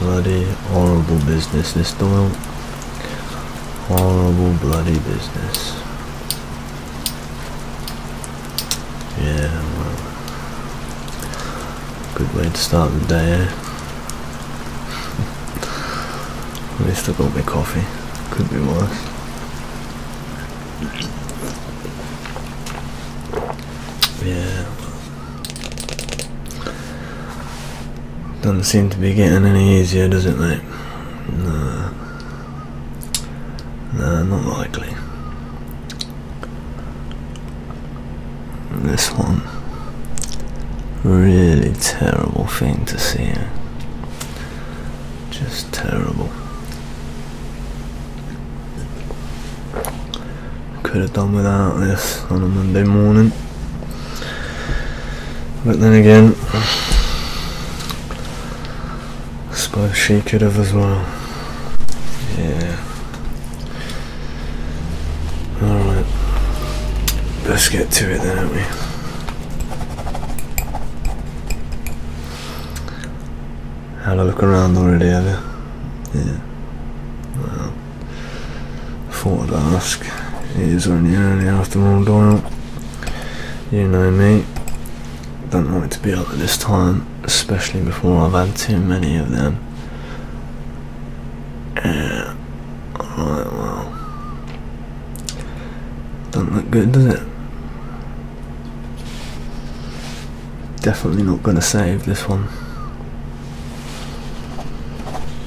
Bloody horrible business this Doyle. Horrible bloody business. Yeah, well. Good way to start the day, eh? At least I got my coffee. Could be worse. Yeah. Doesn't seem to be getting any easier, does it, mate? No. No, not likely. This one. Really terrible thing to see. Just terrible. Could have done without this on a Monday morning. But then again, I suppose she could have as well. Yeah. Alright. Let's get to it then, we? Had a look around already, have you? Yeah. Well. Thought I'd ask. It is only early afternoon, Doyle. You know me. Don't like to be up at this time, especially before I've had too many of them. Yeah. Alright, well. Doesn't look good, does it? definitely not going to save this one.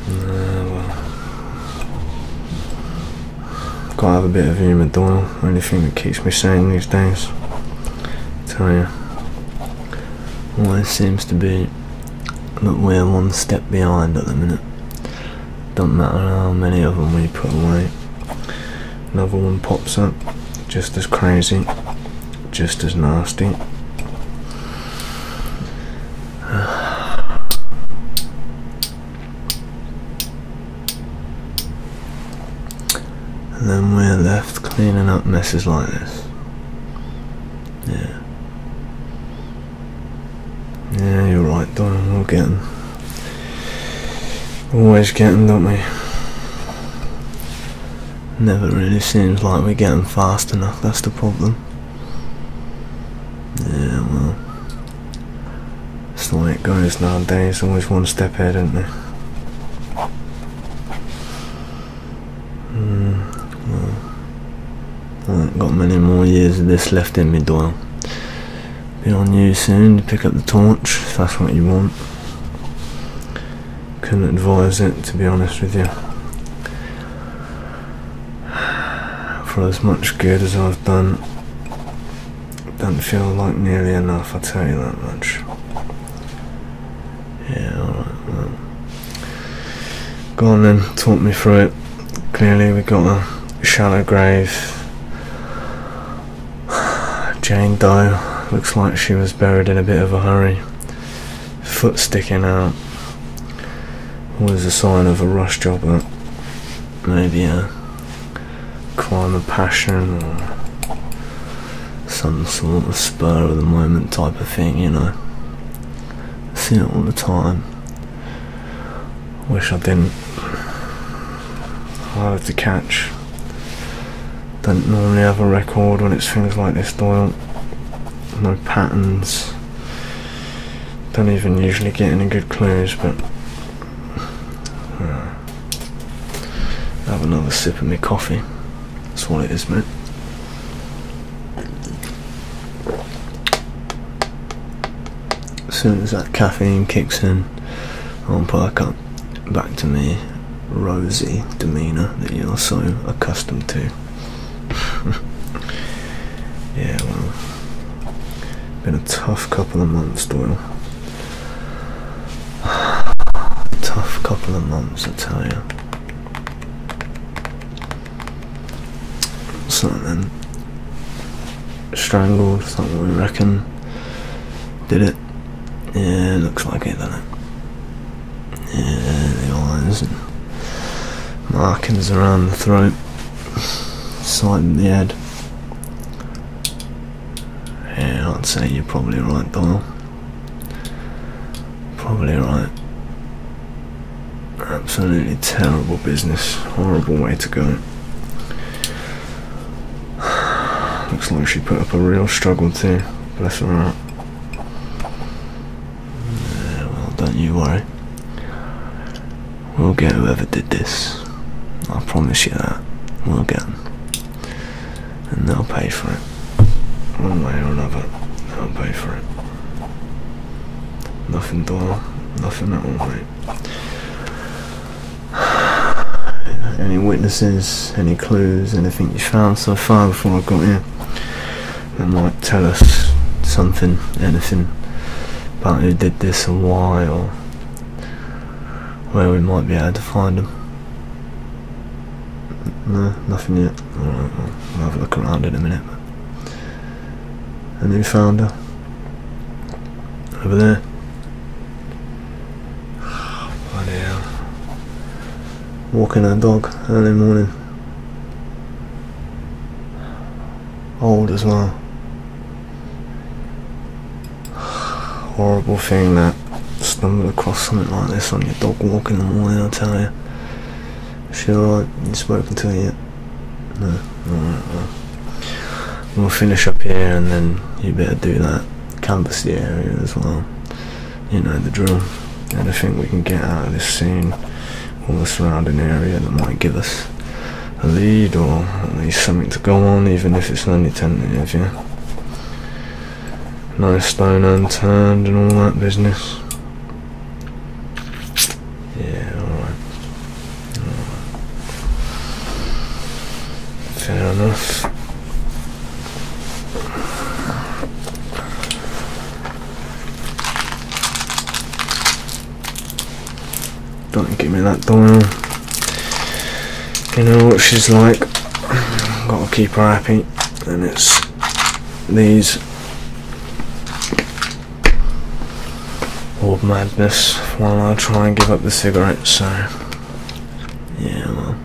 Uh, well. Gotta have a bit of humour, Doyle. Only thing that keeps me sane these days. I tell you, it seems to be that we're one step behind at the minute. Don't matter how many of them we put away. Another one pops up, just as crazy just as nasty. And then we're left cleaning up messes like this. Yeah. Yeah, you're right, Don. We'll get them. Always getting, don't we? Never really seems like we're getting fast enough, that's the problem. Yeah, well. It's the way it goes nowadays, always one step ahead, isn't it? Mm, I have got many more years of this left in me, Doyle. Be on you soon to pick up the torch, if that's what you want couldn't advise it to be honest with you. For as much good as I've done, don't feel like nearly enough, i tell you that much. Yeah, alright, well. Go on then, talk me through it. Clearly, we've got a shallow grave. Jane Doe looks like she was buried in a bit of a hurry foot sticking out was a sign of a rush job uh, maybe a crime of passion or some sort of spur of the moment type of thing you know I see it all the time wish I didn't Hard to catch don't normally have a record when it's things like this Doyle no patterns. Don't even usually get any good clues, but uh, have another sip of my coffee. That's what it is, mate. As soon as that caffeine kicks in, I'll perk up back to my rosy demeanour that you're so accustomed to. yeah, well, been a tough couple of months, Doyle. tough couple of months, I tell you. So then, strangled, something we reckon. Did it? Yeah, looks like it, doesn't it? Yeah, the eyes and markings around the throat, side of the head. Yeah, I'd say you're probably right, Doyle. Probably right. Absolutely terrible business. Horrible way to go. Looks like she put up a real struggle too. Bless her heart. Well, don't you worry. We'll get whoever did this. I promise you that. We'll get them. And they'll pay for it. One way or another, they'll pay for it. Nothing done. nothing at all, Any witnesses, any clues, anything you found so far before I got here? and might tell us something, anything about who did this and why or where we might be able to find them. No, nothing yet. Alright, will have a look around in a minute. A new founder. Over there. Bloody hell. Walking our dog early morning. Old as well. Horrible thing that stumbled across something like this on your dog walk in the morning, I tell you. Is she alright? You spoken to you. We'll finish up here and then you better do that. Canvas the area as well you know the drill. Anything we can get out of this scene or the surrounding area that might give us a lead or at least something to go on, even if it's only tentative, yeah. No stone unturned and all that business. Yeah, alright. Fair enough. Don't give me that doll. You know what she's like. Gotta keep her happy. And it's these orb madness while I try and give up the cigarette, so yeah well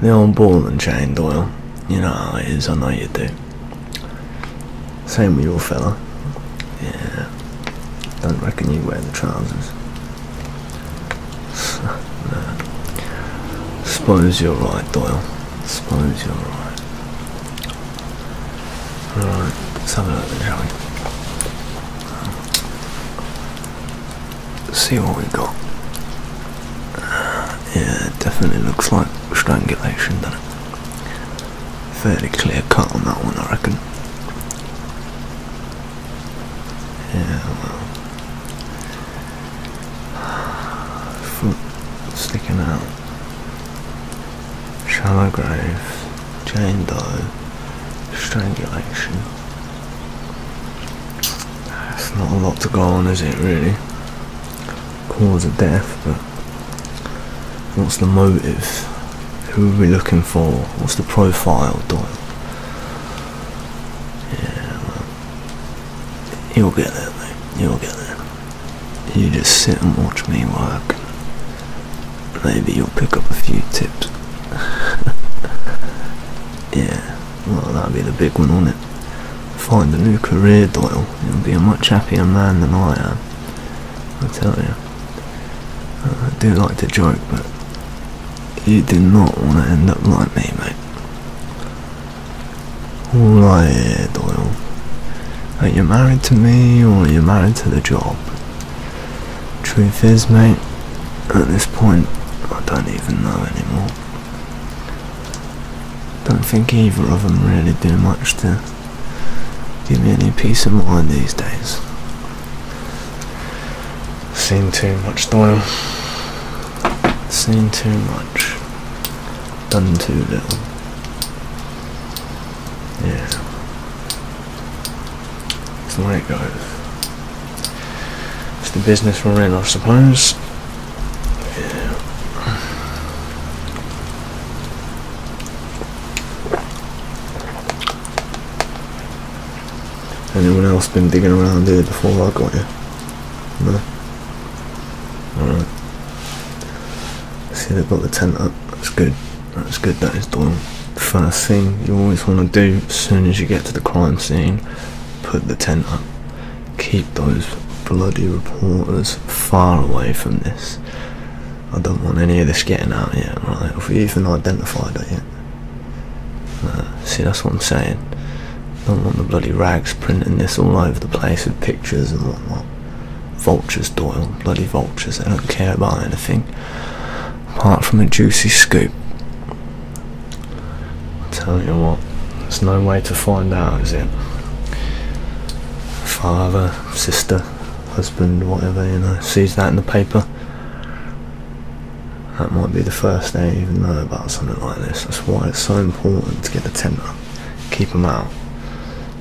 the old ball and chain, Doyle. You know how it is, I know you do. Same with your fella. Yeah. Don't reckon you wear the trousers. no. Suppose you're right, Doyle. Suppose you're right. Alright, let's have a look then, see what we got. yeah, it definitely looks like strangulation, then it? Fairly clear cut on that one, I reckon. Yeah, Foot sticking out. Shallow grave. Chain Doe. Strangulation. That's not a lot to go on, is it, really? cause of death, but what's the motive? Who are we looking for? What's the profile, Doyle? Yeah, you'll get there, You'll get there. You just sit and watch me work. Maybe you'll pick up a few tips. yeah. Well, that'd be the big one, wouldn't it? Find a new career, Doyle. You'll be a much happier man than I am. I tell you. Uh, I do like to joke, but you do not want to end up like me, mate. All Doyle, are you married to me or are you married to the job? Truth is, mate, at this point, I don't even know anymore. Don't think either of them really do much to give me any peace of mind these days. Seen too much, Doyle. Seen too much. Done too little. Yeah. It's the way it goes. It's the business we're in, I suppose. Anyone else been digging around there before I got here? No? Alright. See they've got the tent up. That's good. That's good, that is done. First thing you always want to do as soon as you get to the crime scene, put the tent up. Keep those bloody reporters far away from this. I don't want any of this getting out yet, right? Have we even identified it yet? Uh, see, that's what I'm saying. I don't want the bloody rags printing this all over the place with pictures and whatnot. Vultures, Doyle. Bloody vultures. They don't care about anything apart from a juicy scoop. Tell you what, there's no way to find out, is it? Father, sister, husband, whatever, you know, sees that in the paper. That might be the first they even know about something like this. That's why it's so important to get the tent up. Keep them out.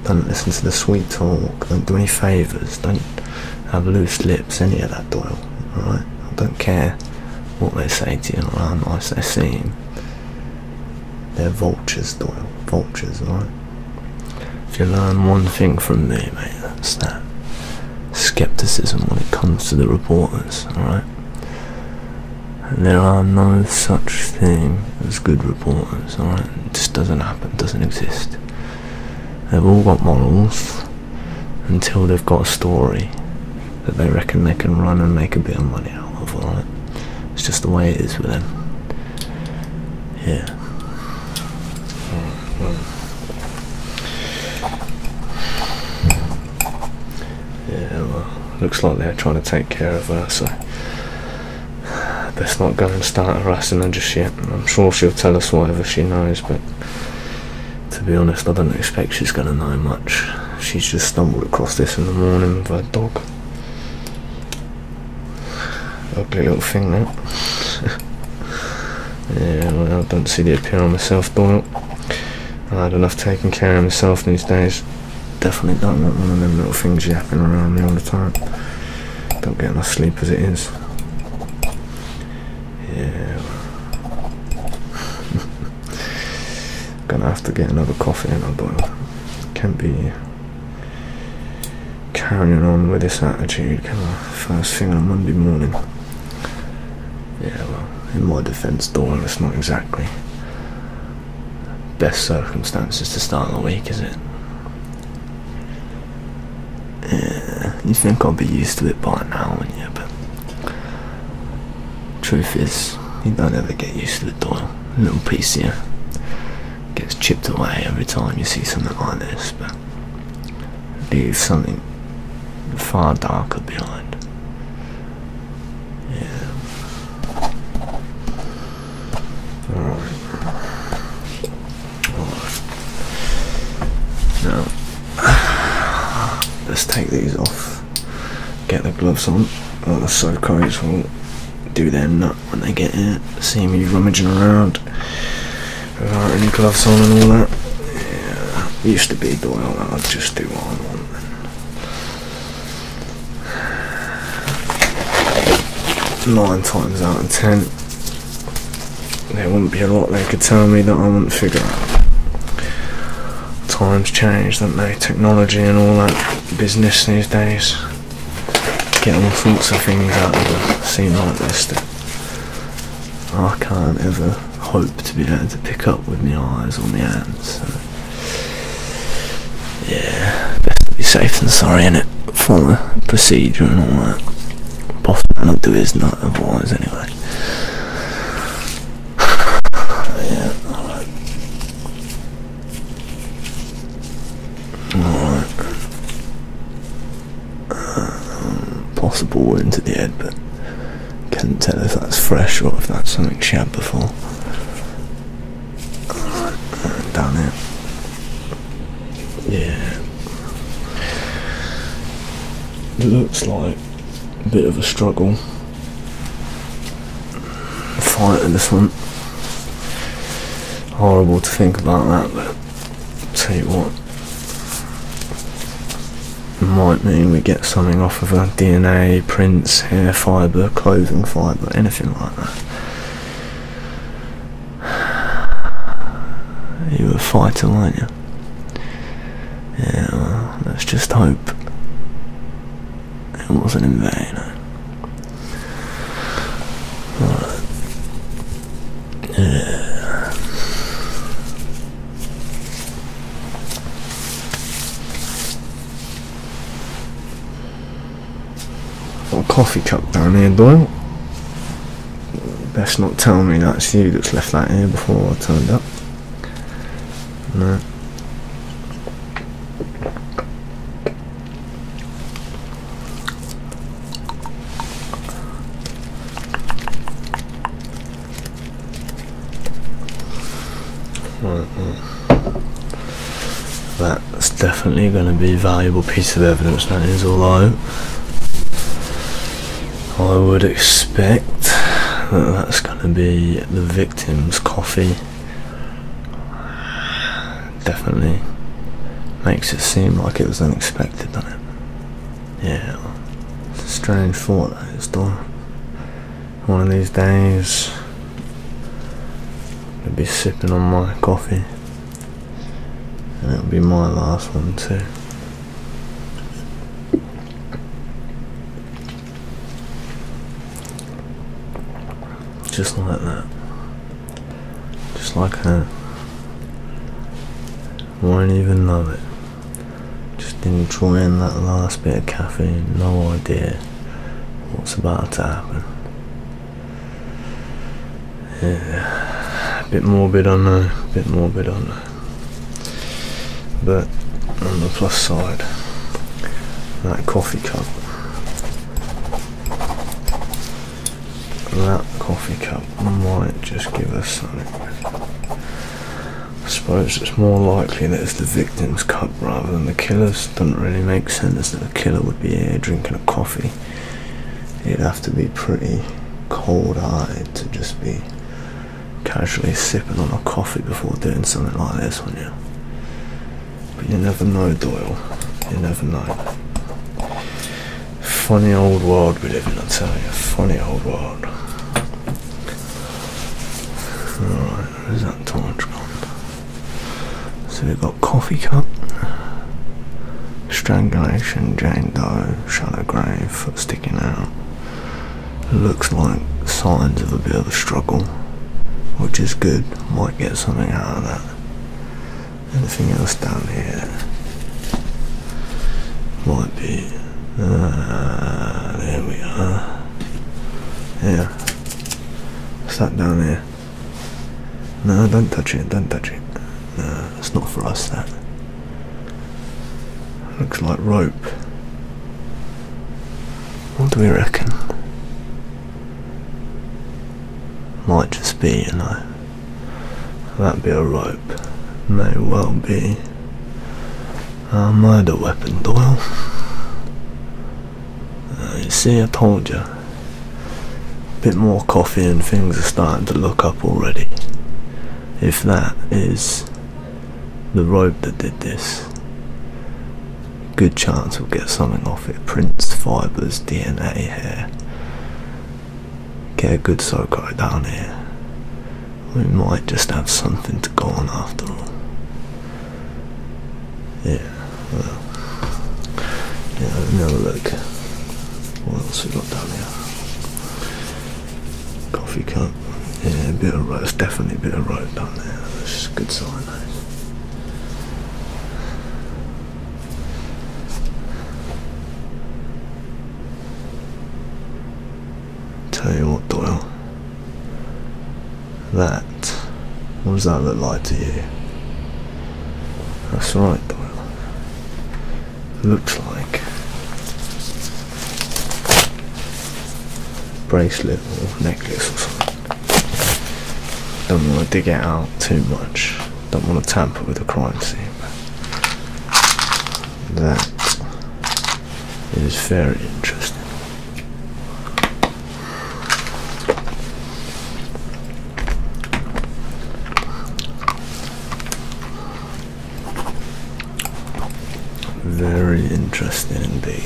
Don't listen to the sweet talk. Don't do any favours. Don't have loose lips, any of that, Doyle. Alright? I don't care what they say to you or how nice they seem. They're vultures, Doyle. Vultures, right? If you learn one thing from me, mate, that's that. Skepticism when it comes to the reporters, alright? There are no such thing as good reporters, alright? It just doesn't happen, doesn't exist. They've all got morals until they've got a story that they reckon they can run and make a bit of money out of, alright? It's just the way it is with them. Yeah. Yeah, well, looks like they're trying to take care of her, so let's not going to start harassing her just yet. I'm sure she'll tell us whatever she knows, but to be honest, I don't expect she's going to know much. She's just stumbled across this in the morning with a dog. Ugly little thing that. yeah, I don't see the appeal on myself doing it. I had enough taking care of myself these days. Definitely don't want one of them little things yapping around me all the time. Don't get enough sleep as it is. Yeah. Gonna have to get another coffee in, a but can't be carrying on with this attitude, First thing on Monday morning. Yeah, well, in my defence, Doyle, it's not exactly best circumstances to start the week, is it? you think I'll be used to it by now, wouldn't you? But Truth is, you don't ever get used to the door. A little piece here gets chipped away every time you see something like this, but leave something far darker behind. Yeah. Alright. Alright. Now, let's take these off, get the gloves on. Oh, that's so cold do their nut when they get here. See me rummaging around without any gloves on and all that. used to be Doyle that i just do what I want. Nine times out of ten, there wouldn't be a lot they could tell me that I wouldn't figure out. Times change, don't they? Technology and all that business these days. Getting all sorts of things out of a scene like this that I can't ever hope to be able to pick up with my eyes or my hands. Yeah, best to be safe than sorry in it. Follow procedure and all that. Boss man will do his nut otherwise anyway. yeah, possible wound to the head, but can't tell if that's fresh or if that's something she had before. Right, down here. Yeah. looks like a bit of a struggle fight this one. Horrible to think about that, but tell you what, might mean we get something off of a DNA, prints, hair fibre, clothing fibre, anything like that. You're a fighter, aren't you? Yeah, let's just hope it wasn't in vain. Alright. Yeah. Got a coffee cup down here, Doyle. Best not tell me that's you that's left that here before I turned up. No. Hmm. That's definitely going to be a valuable piece of evidence, that is, although I would expect that that's going to be the victim's coffee Definitely makes it seem like it was unexpected, doesn't it? Yeah, it's a strange thought that is, though. One of these days, I'll be sipping on my coffee, and it'll be my last one, too. Just like that. Just like that. Won't even love it. Just enjoying that last bit of caffeine, no idea what's about to happen. Yeah, a bit morbid, I know, a bit morbid, I know. But on the plus side, that coffee cup that coffee cup might just give us something. I suppose it's more likely that it's the victim's cup rather than the killer's. Doesn't really make sense that the killer would be here drinking a coffee. it would have to be pretty cold eyed to just be casually sipping on a coffee before doing something like this, wouldn't you? But you never know, Doyle. You never know. Funny old world we live in, I tell you. Funny old world. Alright, where's that torch So we've got coffee cup, strangulation, Jane Doe, shallow grave, sticking out. Looks like signs of a bit of a struggle, which is good. Might get something out of that. Anything else down here? Might be. Uh, there we are. Yeah. What's down here? No, don't touch it, don't touch it. No, it's not for us that. Looks like rope. What do we reckon? Might just be, you know, that be a rope. May well be I uh, murder weapon, Doyle. Uh, you see, I told you. Bit more coffee and things are starting to look up already. If that is the rope that did this, good chance we'll get something off it. Prince fibres, DNA here. Get a good Soko down here. We might just have something to go on after all. Yeah, well. Yeah, let look. What else we got down here? Coffee cup. Yeah, a bit of road. definitely a bit of road down there. That's a good sign, though. Eh? Tell you what, Doyle. That. What does that look like to you? That's right, Doyle. Looks like bracelet or necklace or something. Don't want to dig it out too much. Don't want to tamper with the crime scene. That is very interesting. Very interesting indeed.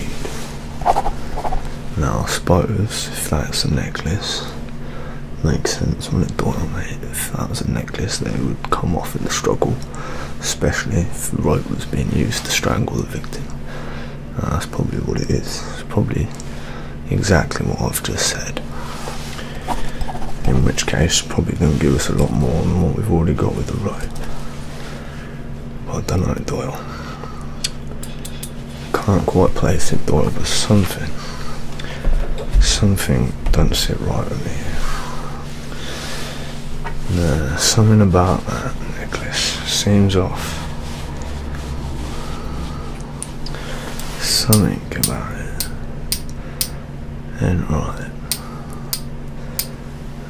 Now, I suppose if that's a necklace, makes sense when it boils it. If that was a necklace, they would come off in the struggle, especially if the rope was being used to strangle the victim. Uh, that's probably what it is. It's probably exactly what I've just said. In which case, probably going to give us a lot more than what we've already got with the rope. do Well done, Doyle. Concord Place and thought it was something. Something doesn't sit right with me. something about that necklace seems off. Something about it. And right.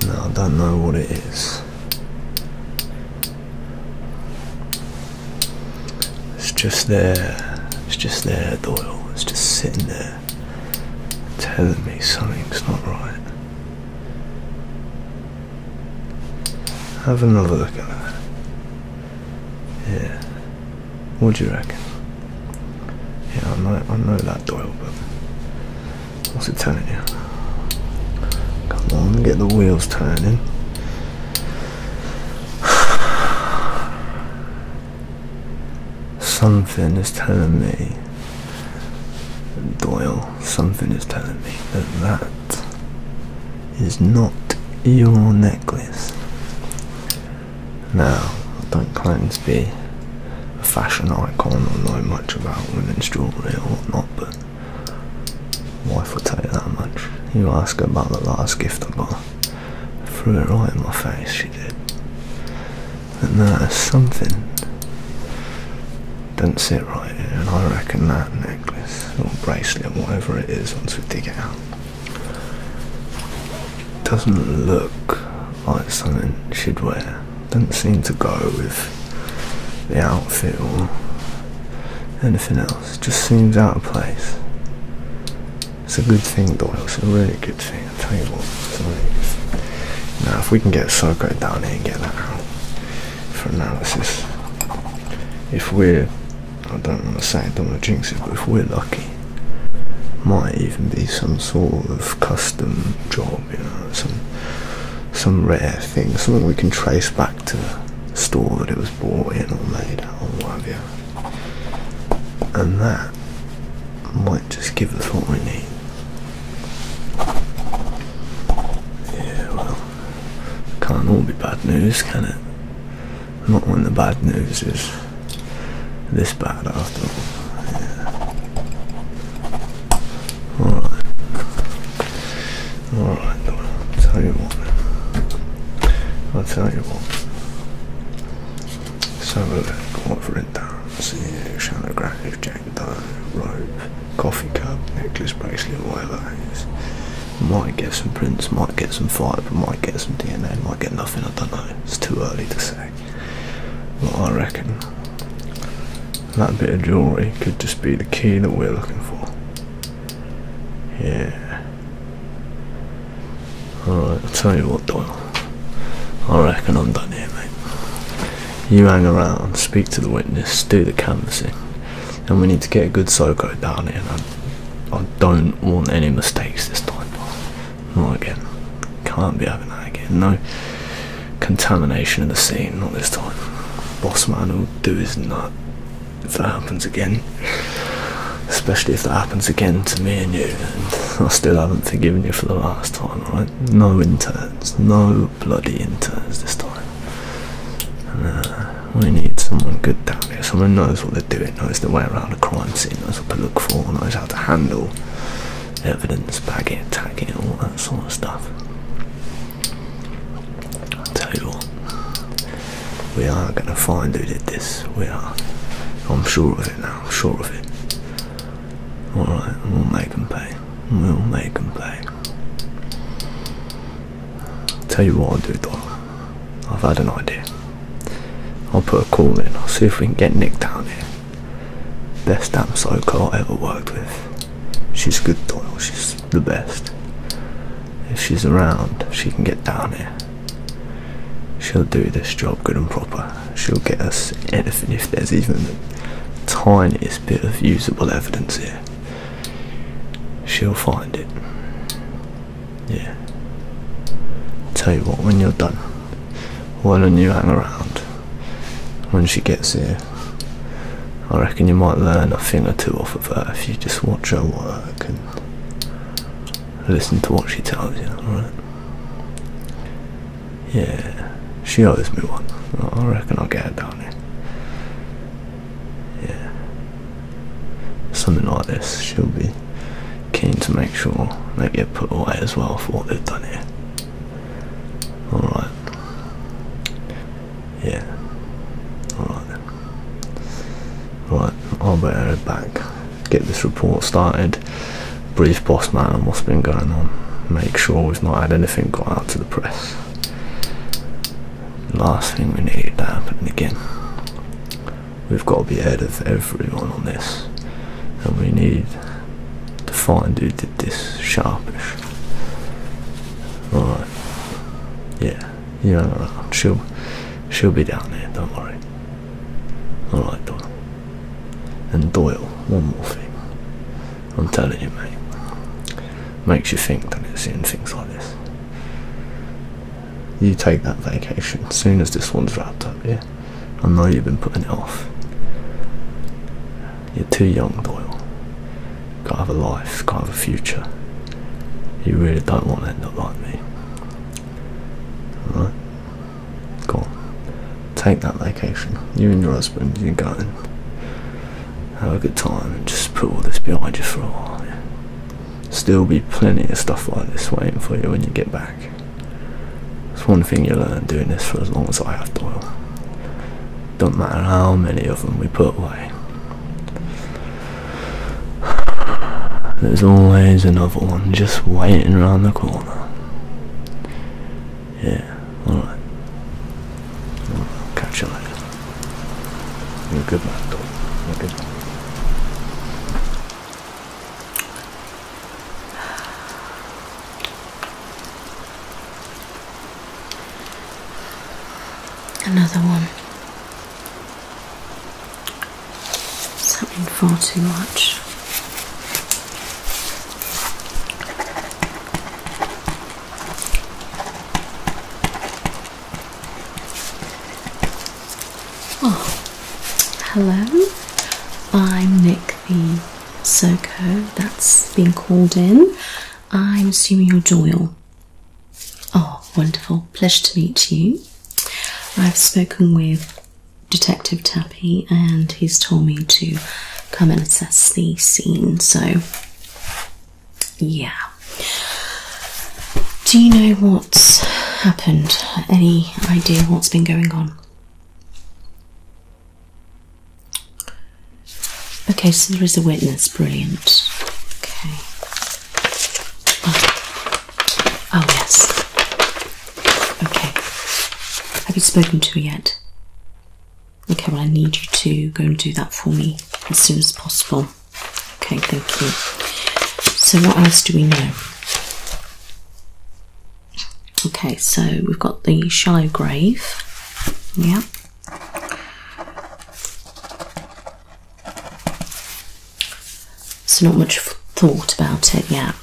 Now I don't know what it is. It's just there. It's just there, Doyle. It's just sitting there, telling me something's not right. Have another look at that. Yeah. What do you reckon? Yeah, I know, I know that Doyle, but what's it telling you? Come on, get the wheels turning. something is telling me, Doyle, something is telling me that that is not your necklace. Now, I don't claim to be a fashion icon or know much about women's jewellery or whatnot, but Wife will tell you that much. You ask about the last gift I got. I threw it right in my face, she did. And that is something. does not sit right here, and I reckon that necklace or bracelet, or whatever it is, once we dig it out, doesn't look like something she'd wear. Doesn't seem to go with the outfit or anything else just seems out of place. It's a good thing, Doyle. It's a really good thing. I tell you what, a really Now, if we can get Soko down here and get that out for analysis, if we're, I don't want to say, I don't want to jinx it, but if we're lucky, might even be some sort of custom job, you know, some some rare thing, something we can trace back to the store that it was was bought in or made or what have you. And that might just give us what we need. Yeah, well, can't all be bad news, can it? Not when the bad news is this bad after all. Alright. Alright, I'll tell you what. I'll tell you what. Let's have a look. Quadrant dance, yeah, shanographic, jack dough, rope, coffee cup, necklace, bracelet, whatever it is. Might get some prints, might get some fibre, might get some DNA, might get nothing, I don't know. It's too early to say. But I reckon that bit of jewellery could just be the key that we're looking for. Yeah. Alright, I'll tell you what Doyle. I reckon I'm done here, mate. You hang around, speak to the witness, do the canvassing, and we need to get a good SOCO down here. I, I don't want any mistakes this time. Not again. Can't be having that again. No contamination of the scene, not this time. Boss man will do his nut if that happens again. Especially if that happens again to me and you, I still haven't forgiven you for the last time, right? No interns, no bloody interns this time. Uh, we need someone good down here, someone knows what they're doing, knows the way around a crime scene, knows what to look for, knows how to handle evidence, bag it, tag it, all that sort of stuff. I'll tell you what, We are gonna find who did this. We are. I'm sure of it now. I'm sure of it. Alright, we'll make them pay. We'll make them pay. I'll tell you what I'll do though. I've had an idea. I'll put a call in. I'll see if we can get Nick down here. Best damn psycho I ever worked with. She's good though. She's the best. If she's around, she can get down here. She'll do this job good and proper. She'll get us anything if there's even the tiniest bit of usable evidence here. She'll find it. Yeah. Tell you what, when you're done, why do you hang around? When she gets here, I reckon you might learn a thing or two off of her if you just watch her work listen to what she tells you, alright? Yeah, she owes me one. I reckon I'll get her down here. Yeah. Something like this, she'll be keen to make sure they get put away as well for what they've done here. Alright. Yeah. Alright Right, I'll better head back, get this report started, brief boss man on what's been going on, make sure we've not had anything got out to the press. Last thing we need to happen again. We've got to be ahead of everyone on this, and we need to find who did this sharpish. Alright, yeah you know, no, no. she'll be down there. Don't worry. All right, Doyle. And Doyle, one more thing. I'm telling you, mate. Makes you think, that it's it? things like this. You take that vacation as soon as this one's wrapped up, yeah? I know you've been putting it off. You're too young, Doyle. Gotta have a life, gotta have a future. You really don't want to end up like me. Alright. Cool. Take that vacation. You and your husband, you're going. Have a good time and just put all this behind you for a while. Yeah? Still be plenty of stuff like this waiting for you when you get back. It's one thing you learn doing this for as long as I have Doyle. Don't matter how many of them we put away, there's always another one just waiting around the corner. Yeah, alright. catch you later. You're a good man, dog. Another one something far too much. Oh, hello. I'm Nick the Serco that's been called in. I'm assuming you're Doyle. Oh, wonderful. Pleasure to meet you. I've spoken with Detective Tappy and he's told me to come and assess the scene, so yeah. Do you know what's happened? Any idea what's been going on? Okay, so there is a witness. Brilliant. Okay. Oh, yes. Okay. Have you spoken to her yet? Okay, well, I need you to go and do that for me as soon as possible. Okay, thank you. So, what else do we know? Okay, so we've got the shallow grave. Yeah. So, not much thought about it yet.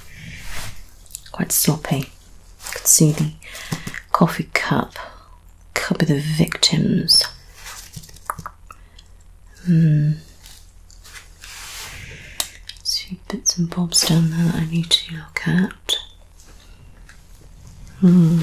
Quite sloppy. I can see the coffee cup, cup of the victims. Hmm. See bits and bobs down there that I need to look at. Hmm.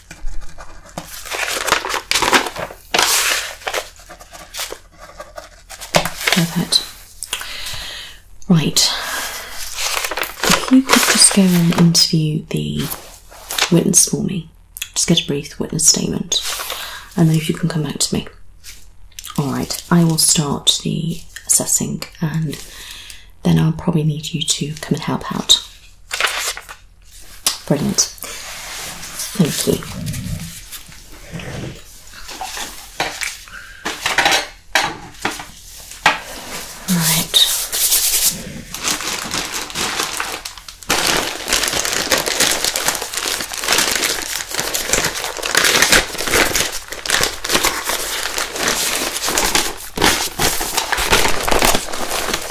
Perfect. Right. If you could just go and interview the witness for me, just get a brief witness statement, and then if you can come back to me. Alright, I will start the assessing and then I'll probably need you to come and help out. Brilliant. Thank you. Right.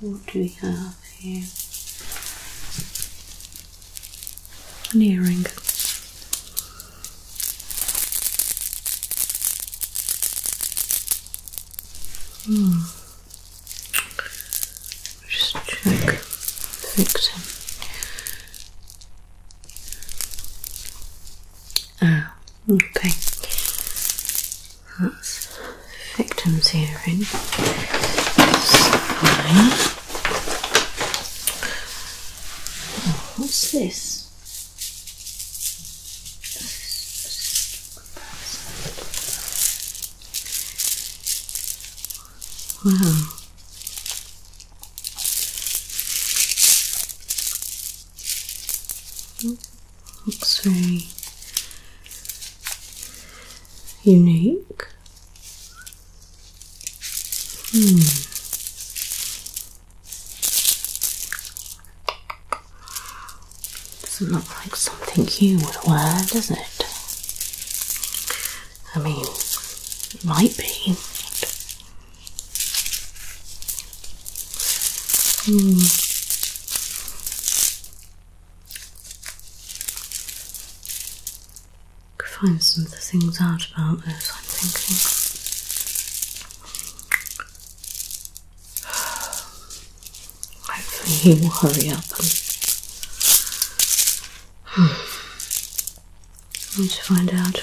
What do we have here? An earring. Hmm. Just check the victim. Ah, okay. That's victim's hearing. what's this? Wow. Looks very unique. Hmm. Doesn't look like something you would wear, does it? I mean, it might be. Hmm find some of the things out about this, I'm thinking. Hopefully, he will hurry up Let's find out.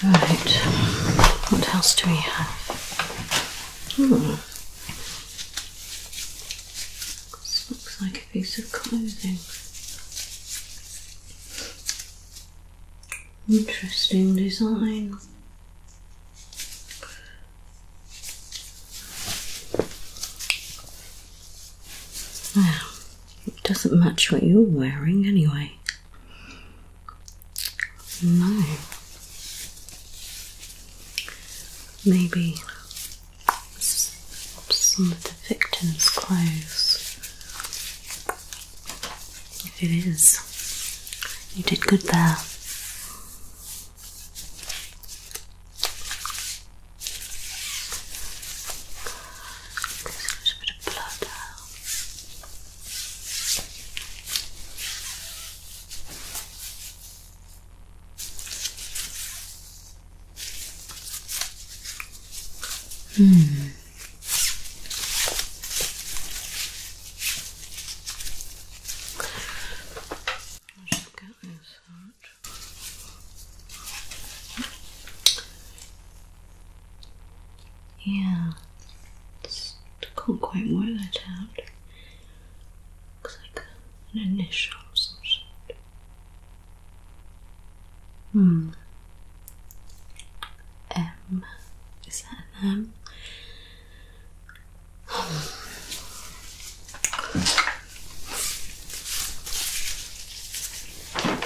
Right, what else do we have? Hmm. This looks like a piece of clothing. Interesting design. it doesn't match what you're wearing anyway. No. Maybe some of the victim's clothes. If it is, you did good there. There's a little bit of blood Hmm. I'll just get this out. Yeah, just can't quite work that out. Looks like an initial hmm. M. Is that an M?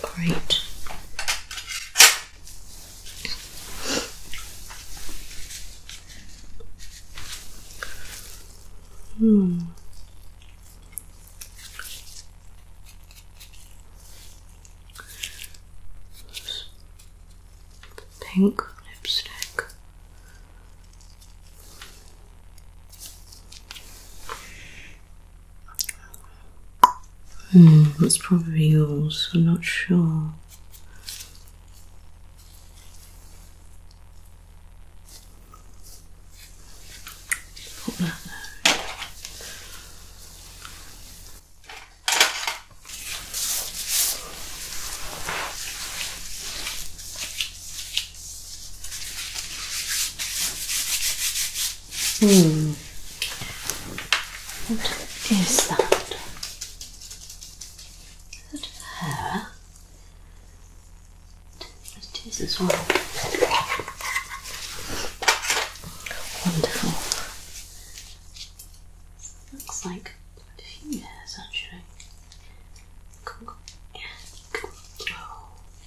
Great. Hmm. Pink lipstick. Hmm, that's probably yours. I'm not sure. Put that there. Hmm. What is that? Is that hair? It is as well. Wonderful. Looks like a few hairs actually.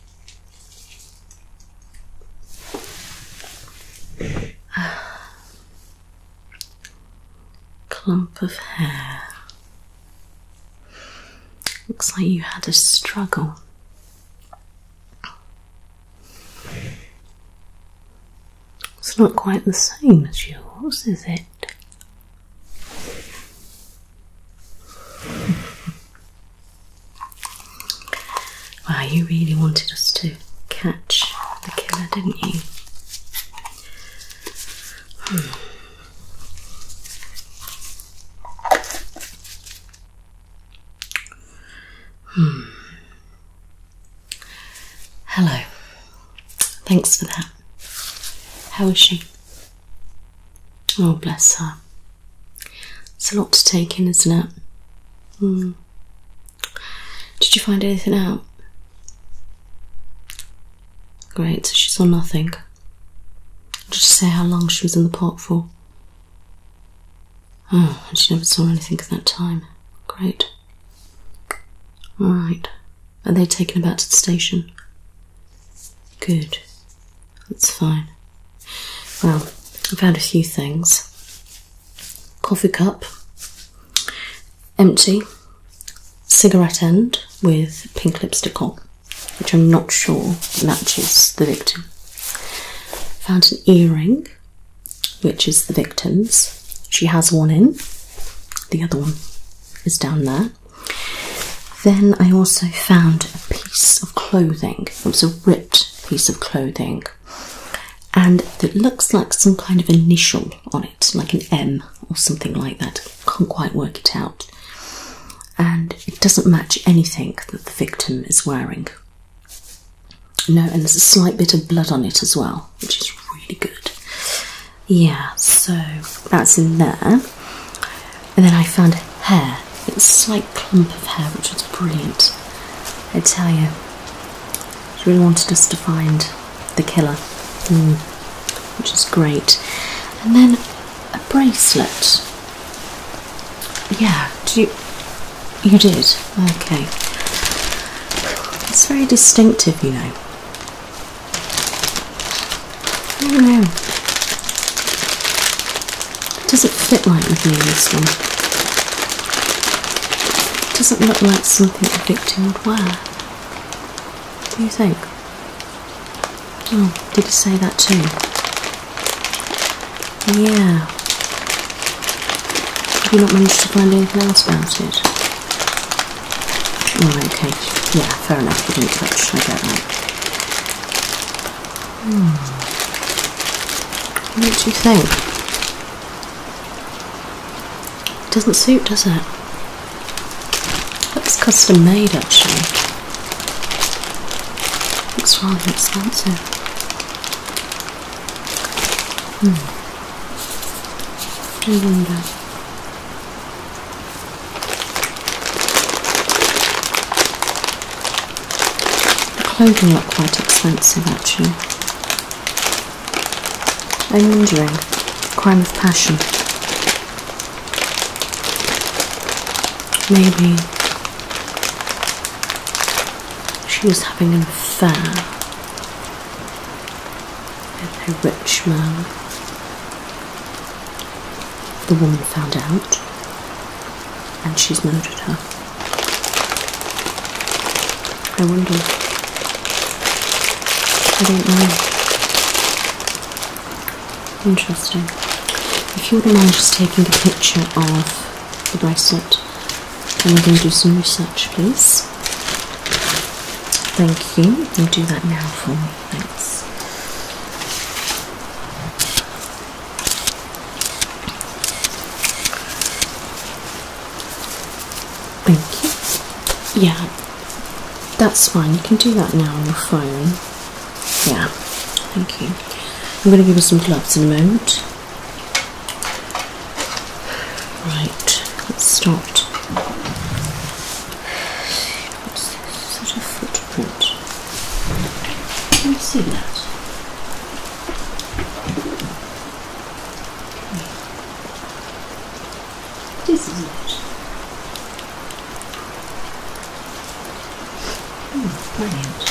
Clump of hair. Looks like you had a struggle. It's not quite the same as yours, is it? Wow, you really wanted us to catch the killer, didn't you? Hmm. hmm. Hello. Thanks for that. How is she? Oh, bless her. It's a lot to take in, isn't it? Hmm. Did you find anything out? Great, so she saw nothing. Just say how long she was in the park for? Oh, and she never saw anything at that time. Great. Alright. Are they taking her back to the station? Good. That's fine. Well, I found a few things coffee cup, empty, cigarette end with pink lipstick on, which I'm not sure matches the victim. Found an earring, which is the victim's. She has one in, the other one is down there. Then I also found a piece of clothing. It was a ripped piece of clothing and it looks like some kind of initial on it, like an M or something like that. Can't quite work it out, and it doesn't match anything that the victim is wearing. No, and there's a slight bit of blood on it as well, which is really good. Yeah, so that's in there. And then I found hair. It's a slight clump of hair, which was brilliant. I tell you, she really wanted us to find the killer, mm. which is great. And then a bracelet. Yeah, you, you did? Okay. It's very distinctive, you know. I know. It Doesn't fit right with me, this one. Doesn't look like something a victim would wear. What do you think? Oh, did you say that too? Yeah. Have you not managed to find anything else about it? Oh, okay. Yeah, fair enough. You didn't touch. I get that. Hmm. What do you think? doesn't suit, does it? That's custom made actually. Looks rather expensive. Hmm. I wonder. The clothing looked quite expensive actually. I'm wondering. Crime of passion. Maybe she was having an affair with a rich man. The woman found out and she's murdered her. I wonder. I don't know. Interesting. If you wouldn't mind just taking a picture of the bracelet, and we're do some research, please. Thank you. You can do that now for me. Thanks. Thank you. Yeah, that's fine. You can do that now on your phone. Yeah, thank you. I'm going to give you some gloves in a moment. Right, It's stopped. What's this sort of footprint? Can you see that? This is it. Mm, brilliant.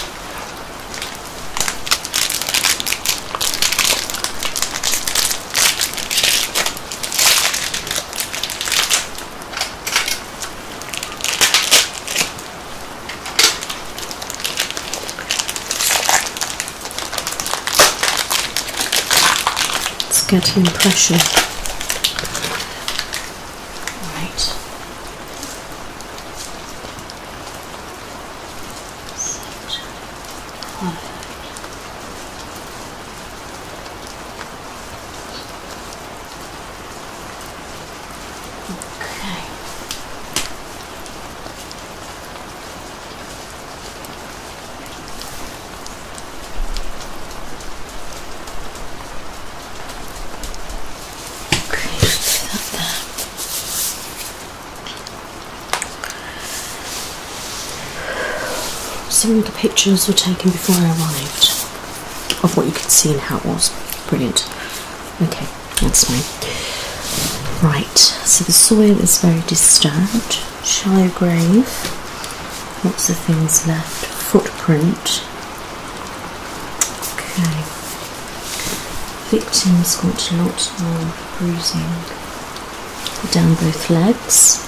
It's getting pressure. Right. Set. Right. Okay. Okay, just that. Some of the pictures were taken before I arrived of what you could see and how it was. Brilliant. Okay. That's me. Right, so the soil is very disturbed. Shallow grave. Lots of things left. Footprint. Okay. Victim's got a lot of bruising down both legs.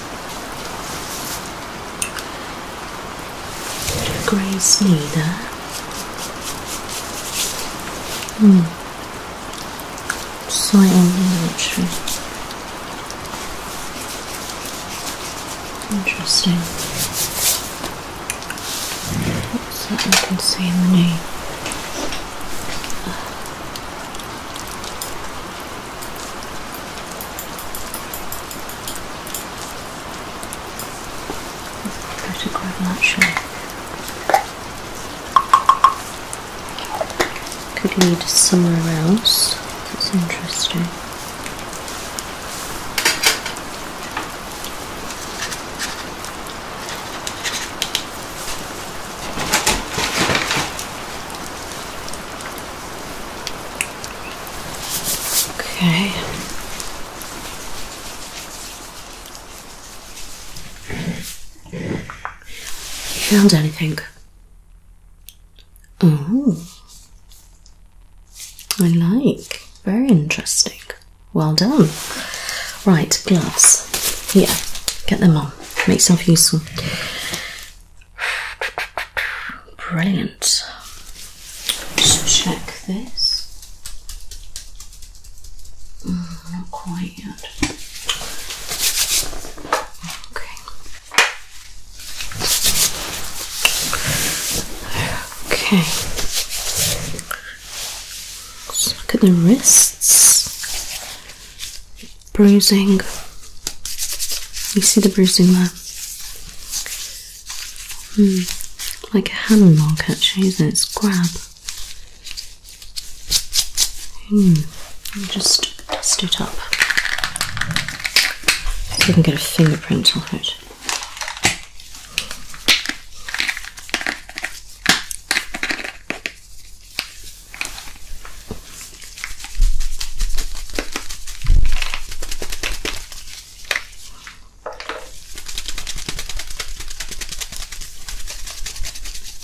Grey knee Hmm soy imagery. Interesting. So I can see in the name. That's quite actually. Could lead somewhere else. That's interesting. Okay. You found anything? Oh, I like. Very interesting. Well done. Right, glass. Here, get them on. Make yourself useful. Brilliant. Just check this. Mm, not quite yet. Okay. Okay. look at the wrists. Bruising. You see the bruising there? Hmm. Like a hand mark, actually, isn't it? It's grab. Hmm, I'll just dust it up. See I can get a fingerprint on it.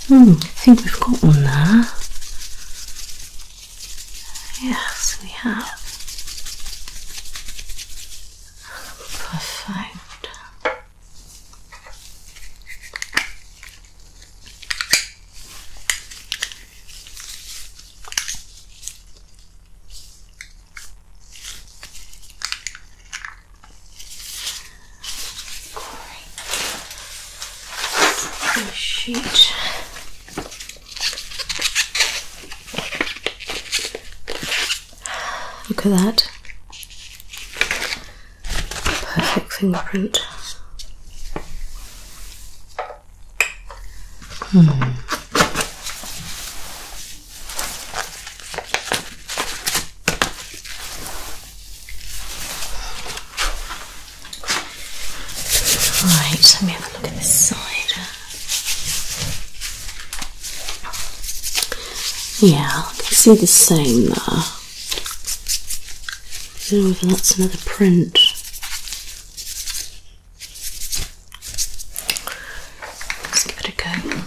Hmm, I think we've got one there. Yes, we have. Perfect sheet. Look at that. Perfect fingerprint. Hmm. Right, let me have a look at the side. Yeah, see the same there. that's another print. Let's give it a go.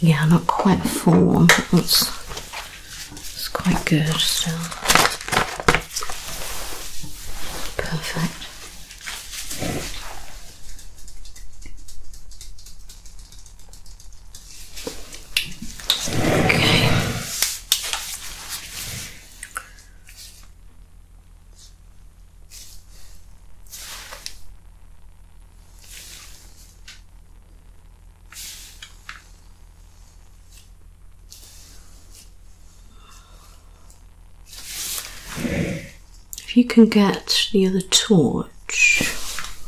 Yeah, not quite full one, but that's, that's quite good still. Perfect. If you can get the other torch,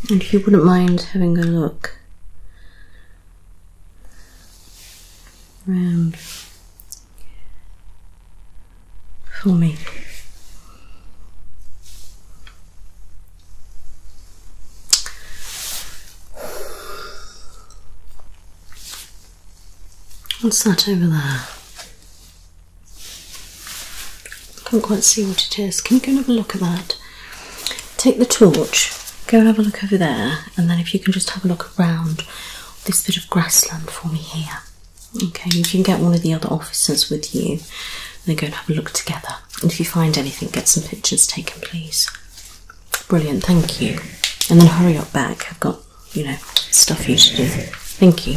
and if you wouldn't mind having a look round for me. What's that over there? Can't quite see what it is. Can you go and have a look at that? Take the torch, go and have a look over there, and then if you can just have a look around this bit of grassland for me here. Okay, you can get one of the other officers with you, and then go and have a look together. And if you find anything, get some pictures taken, please. Brilliant, thank you. And then hurry up back. I've got, you know, stuff you to do. Thank you.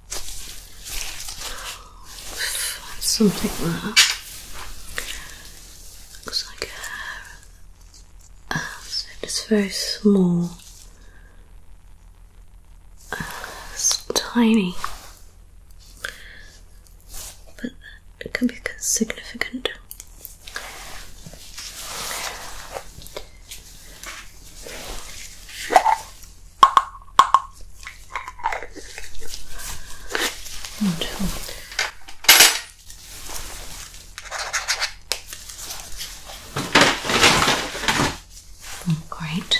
Something there. Looks like a uh, it's very small. Uh, tiny. But it can be significant. Wonderful. Oh, great.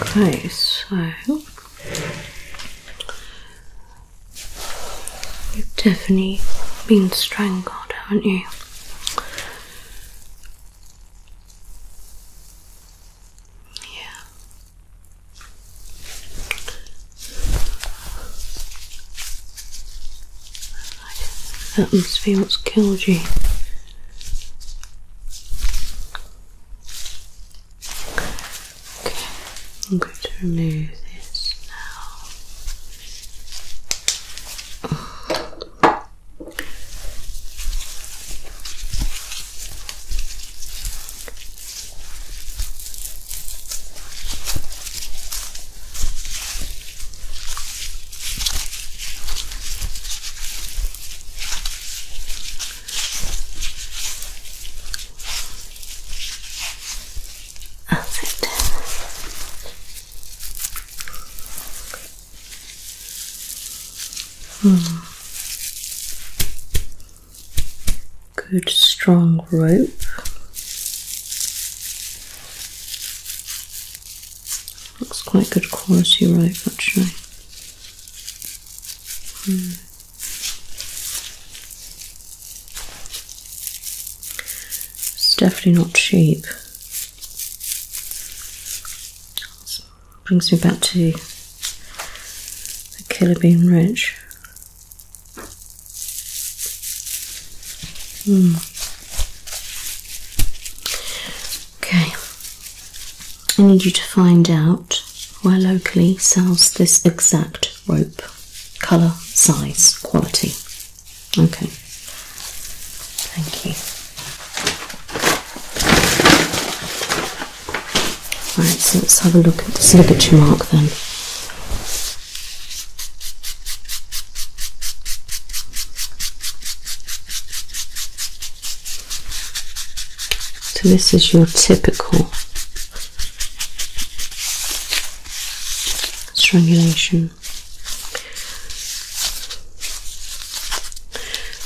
Okay, so you've definitely been strangled, haven't you? Yeah. That must be what's killed you. Okay, I'm going to remove this now. That's it. Hmm. Good strong rope. Looks quite good quality right? actually. Hmm. It's definitely not cheap. brings me back to the killer bean ridge. Hmm. Okay, I need you to find out where locally sells this exact rope, colour, size, quality. Okay, thank you. Alright, so let's have a look at this ligature mark then. So this is your typical strangulation.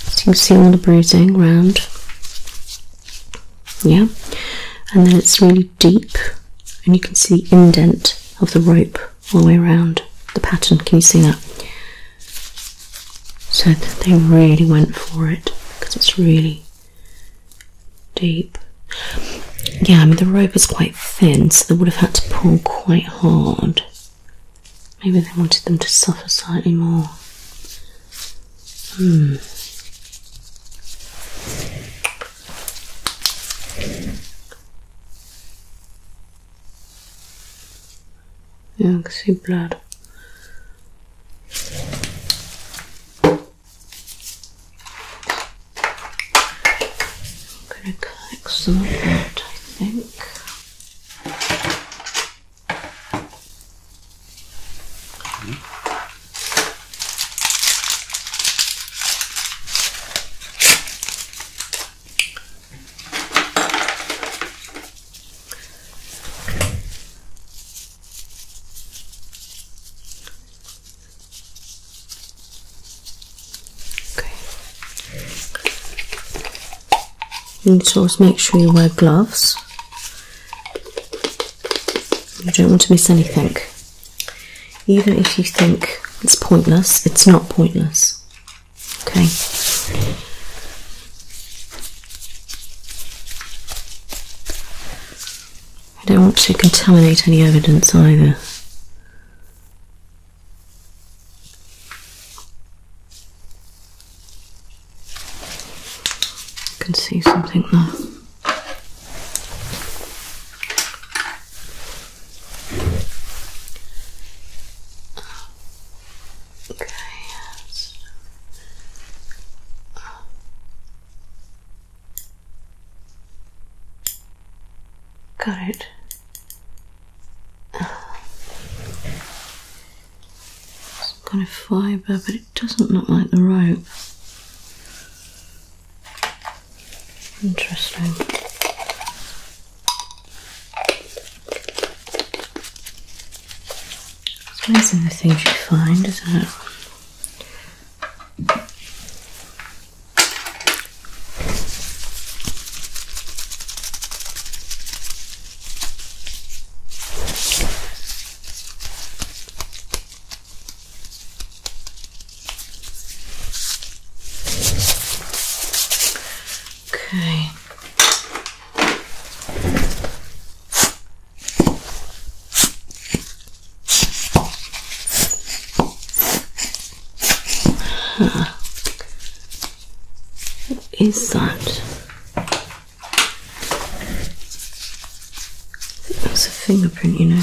So you can see all the bruising round. Yeah. And then it's really deep and you can see the indent of the rope all the way around the pattern. Can you see that? So they really went for it because it's really deep. Yeah, I mean the rope is quite thin, so they would have had to pull quite hard. Maybe they wanted them to suffer slightly more. Hmm. Yeah, I can see blood. I'm going to collect some of that, I think. You need to always make sure you wear gloves. You don't want to miss anything. Even if you think it's pointless, it's not pointless. Okay. I don't want to contaminate any evidence either. I can see something there. Okay, Got it. Oh. Some kind of fibre, but it doesn't look like the rope. Interesting. It's amazing the things you find, isn't it? Okay. Huh. What is that? that's a fingerprint, you know.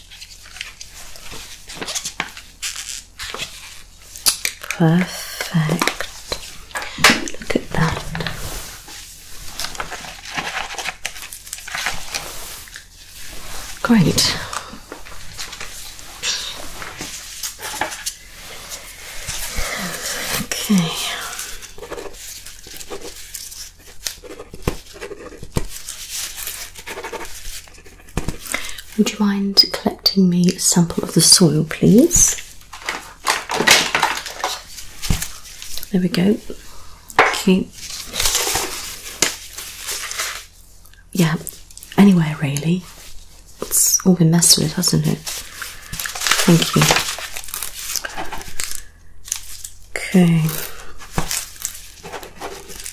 Perfect. Look at that. Great. Okay. Would you mind collecting me a sample of the soil, please? There we go. Thank Yeah, anywhere really. It's all been messed with, hasn't it? Thank you. Okay.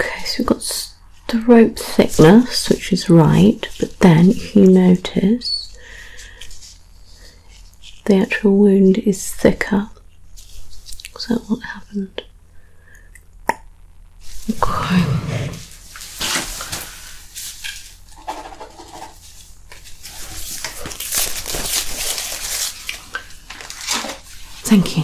Okay, so we've got the rope thickness, which is right, but then you notice the actual wound is thicker. Is what happened? Okay. Thank you.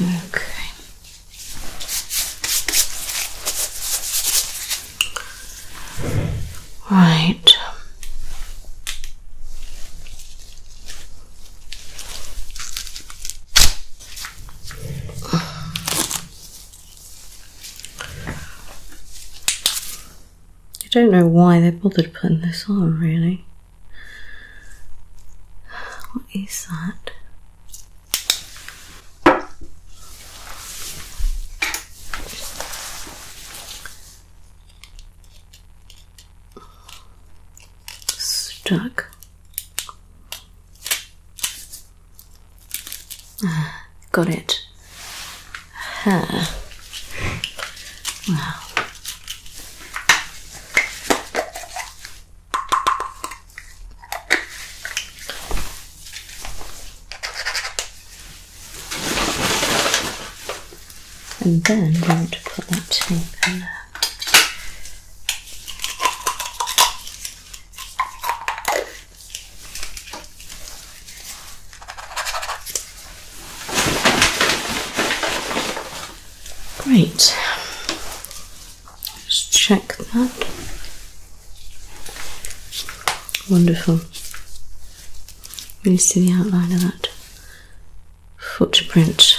Okay. Right. Um, I don't know why they bothered putting this on, really. What is that? Stuck. got it. Huh. Wow. And then we want to put that tape in there. Great. Let's check that. Wonderful. Really see the outline of that footprint.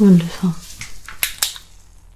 Wonderful.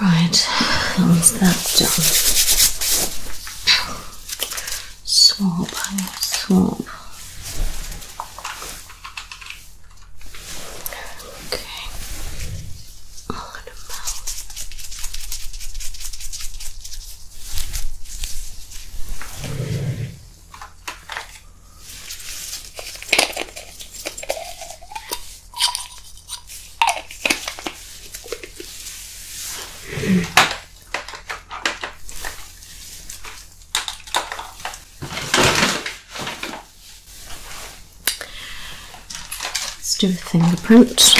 Right, once that's done? Swap, swap. Okay. I'm going Let's do a fingerprint.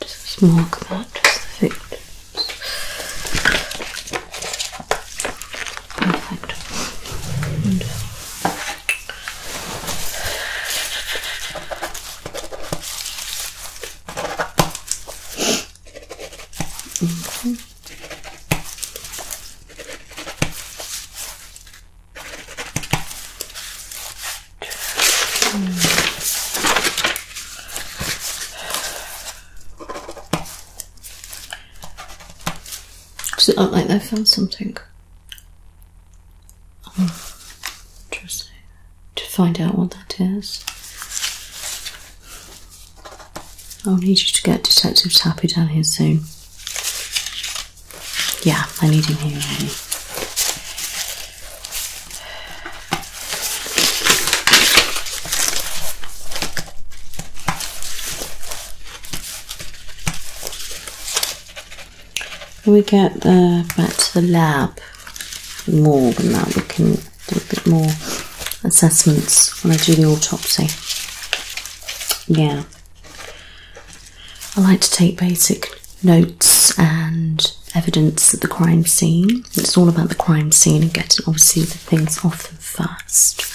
Just mark that, just the Perfect. And Mm -hmm. Mm. Does like they found something? interesting. To find out what that is, I'll need you to get Detective Tappy down here soon. Yeah, I need him here already. When we get back to the lab, more than that, we can do a bit more assessments when I do the autopsy. Yeah. I like to take basic notes and evidence at the crime scene. It's all about the crime scene and getting obviously the things off them first.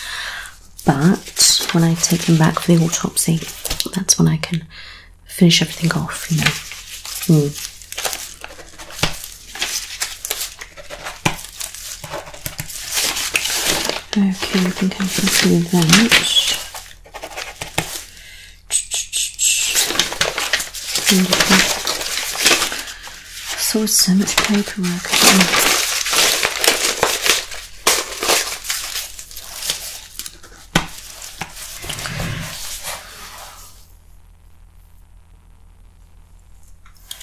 But when I take them back for the autopsy, that's when I can finish everything off, you know. Hmm. Okay, I think I can do that. so much paperwork.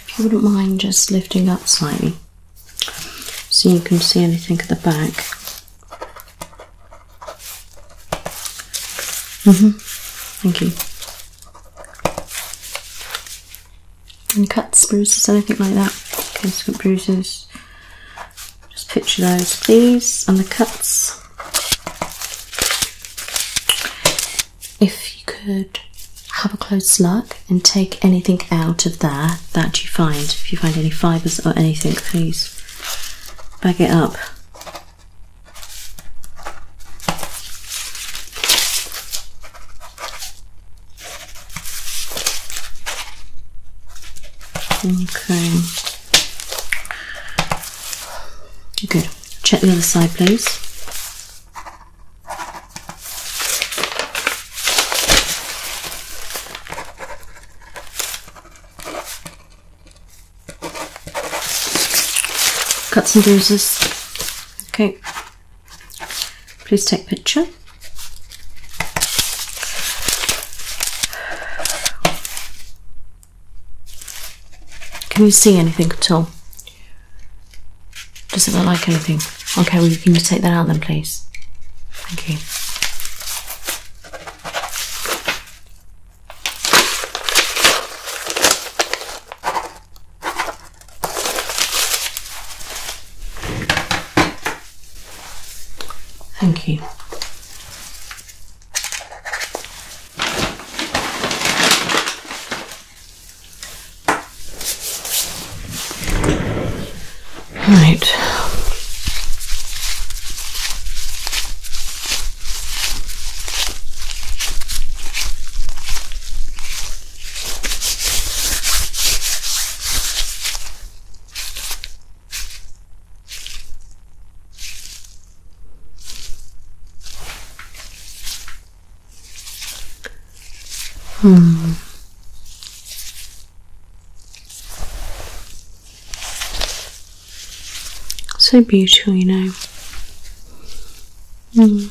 If you wouldn't mind just lifting up slightly so you can see anything at the back. Mm-hmm. Thank you. Any cuts, bruises, anything like that? Okay, so bruises. Just picture those, these and the cuts. If you could have a close look and take anything out of there that you find, if you find any fibres or anything, please bag it up. Okay. Good. Check the other side, please. Cuts and bruises. Okay. Please take picture. Can you see anything at all? Doesn't look like anything. Okay, we can just take that out then, please? Thank you. Thank you. Right. Hmm. So beautiful, you know. Mm.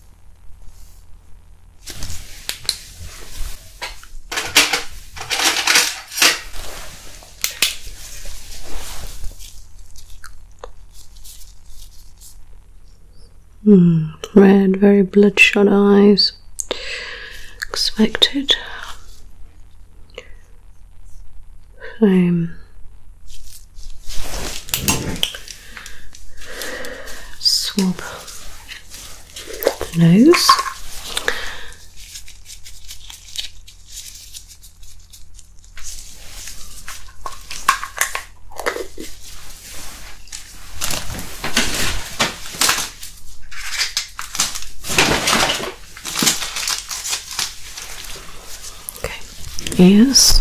Hmm, red, very bloodshot eyes. Expected. Same. Swab the nose. Okay. Ears.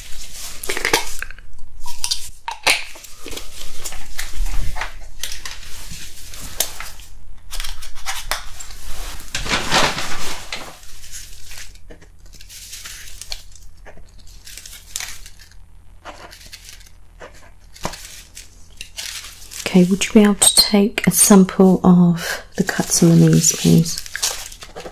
Okay, would you be able to take a sample of the cuts on the knees, please?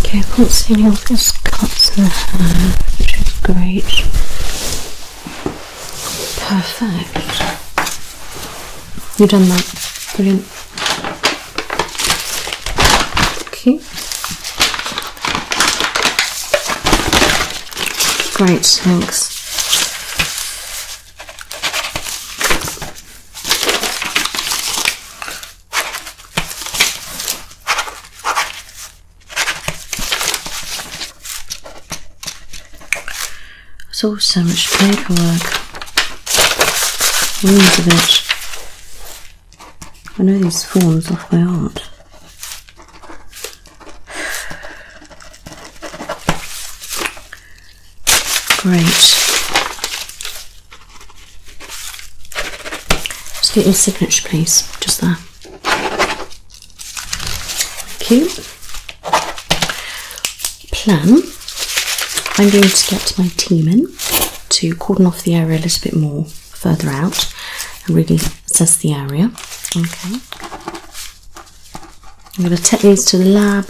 Okay, I can't see any of those cuts the hair, which is great. Perfect. You've done that. Brilliant. Okay. Great, thanks. It's all so much paperwork. Loads of it. I know these forms off by heart. Great. Just get your signature, please, just there. Thank Plan. I'm going to get my team in to cordon off the area a little bit more further out and really assess the area. Okay. I'm going to take these to the lab,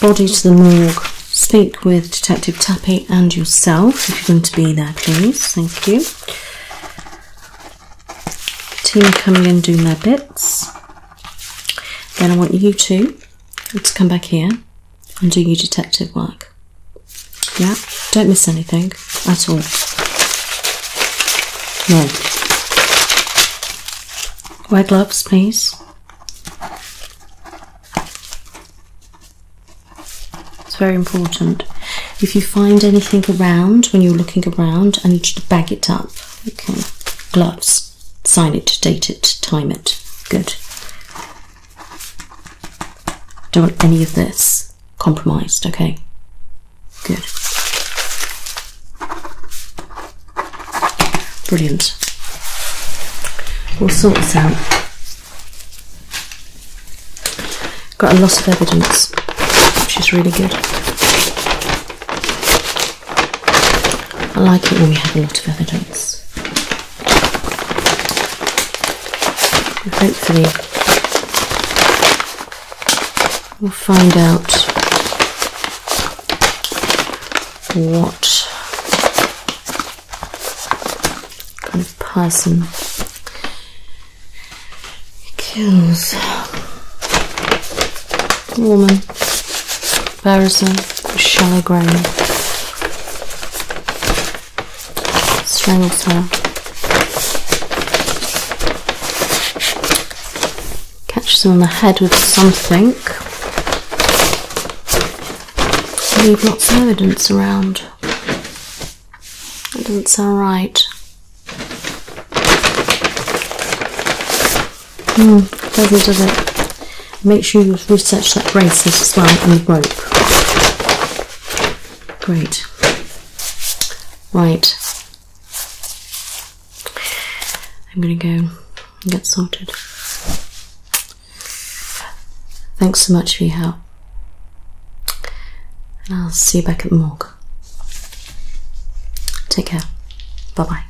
body to the morgue. Speak with Detective Tappy and yourself if you're going to be there, please. Thank you. Team coming in do their bits. Then I want you two to come back here and do your detective work. Yeah, don't miss anything. That's at all. No. White gloves, please. It's very important. If you find anything around when you're looking around, I need you to bag it up. Okay. Gloves. Sign it, date it, time it. Good. Don't want any of this compromised. Okay, good. Brilliant. We'll sort this out. Got a lot of evidence, which is really good. I like it when we have a lot of evidence. And hopefully, We'll find out what kind of person kills a woman, embarrassing, shallow grave, strangles her Catch them on the head with something. Leave lots of evidence around. That doesn't sound right. Hmm, does does it? Make sure you research that bracelet as well and the rope. Great. Right, I'm gonna go and get sorted. Thanks so much for your help. And I'll see you back at the morgue. Take care. Bye bye.